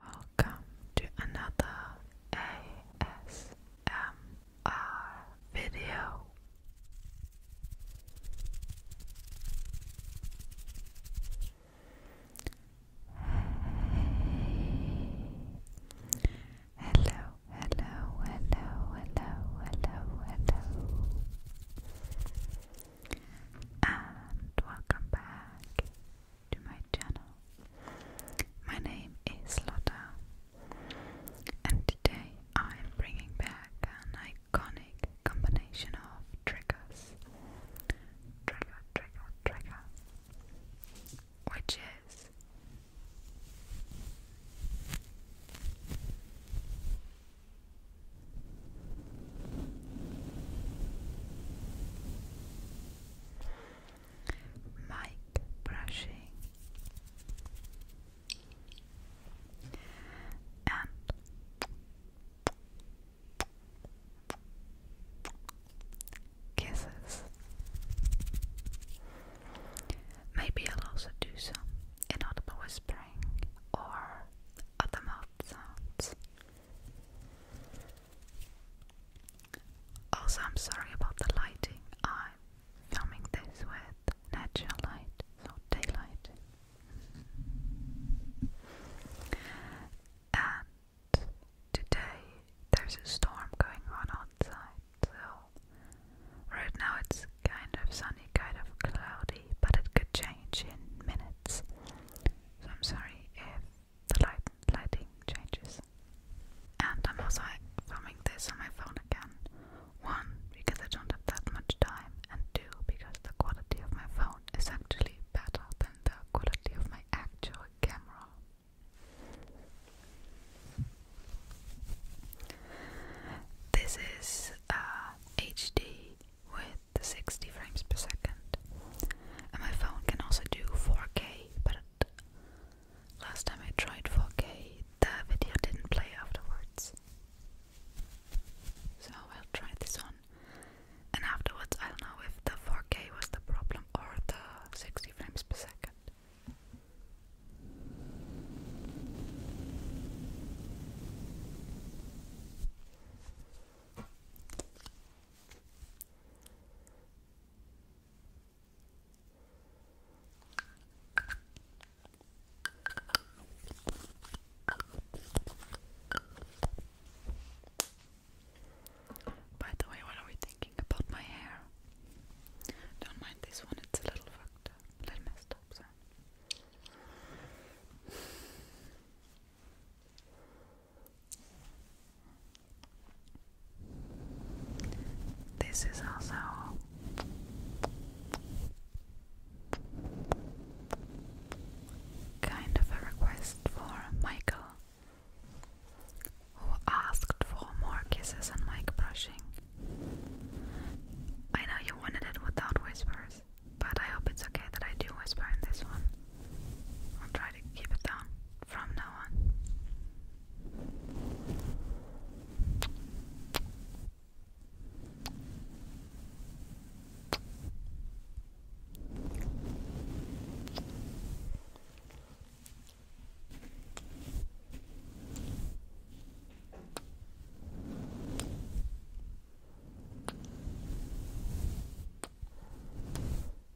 Welcome to another ASMR video. Hey. Hello, hello, hello, hello, hello, hello. And welcome back to my channel. My name is Lotta, and today I am bringing back an iconic combination of triggers. Trigger, trigger, trigger. Which is mic brushing, and kisses. Maybe I'll also do some inaudible whispering or other mouth sounds. Also, I'm sorry about the lighting. I'm filming this with natural light, so daylight. And today there's a storm going on outside, so right now it's kind of sunny, kind of cloudy, but it could change in minutes. So I'm sorry if the light lighting changes. And I'm also filming this on my phone again. One, because I don't have that much time, and two, because the quality of my phone is actually better than the quality of my actual camera. This is HD uh, with to 60 frames per second. And my phone can also do 4K, but last time I tried 4K, the video didn't play afterwards. So I'll try this one, And afterwards, i don't know if the 4K was the problem or the 60 frames per second. By the way, what are we thinking about my hair? Don't mind this one, it's a little fucked up, a little messed up, so. This is also kind of a request for Michael, who asked for more kisses and mic brushing. I know you wanted it without whispers, but I hope it's okay that I do whisper in this one. I'll try to keep it down from now on.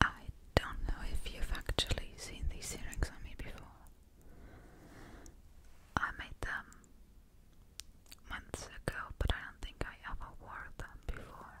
I don't know if you've actually seen these earrings on me before. I made them months ago, but I don't think I ever wore them before.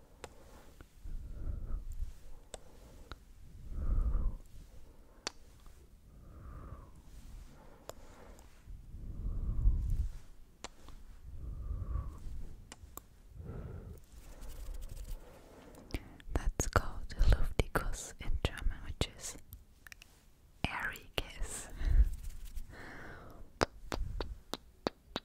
That's called Luftikus in German, which is airy kiss.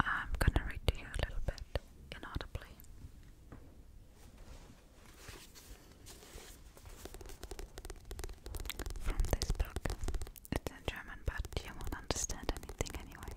I'm gonna read to you a little bit inaudibly. From this book. It's in German, but you won't understand anything anyway.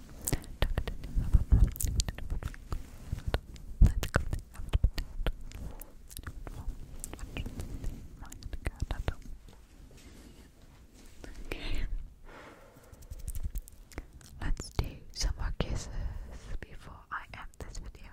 Okay. Let's do some more kisses before I end this video.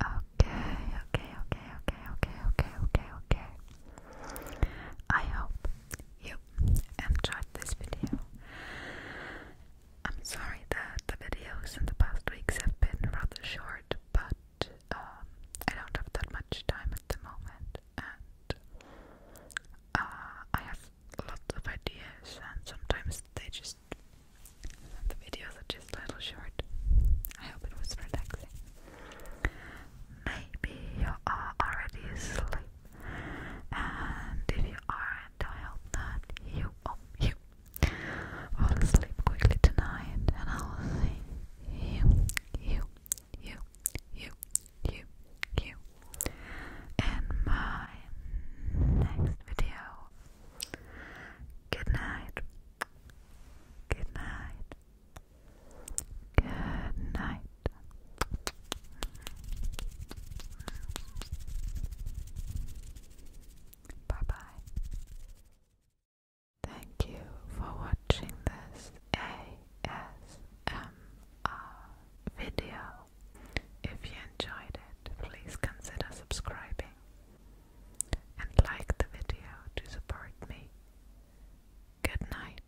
Okay, okay, okay, okay, okay, okay, okay, okay. I hope you enjoyed this video. I'm sorry that the videos in the past weeks have been rather short, but um, I don't have that much time at the moment, and uh, I have lots of ideas, and sometimes they just the videos are just a little short. I hope it was relaxing. Maybe you are already asleep and if you aren't, you, oh, you fall asleep quickly tonight, and I will see you, you, you, you, you, you in my next video. Good night. Good night. Good night. Bye bye. Thank you for watching this ASMR video. If you enjoyed it, please consider subscribing and like the video to support me. Good night.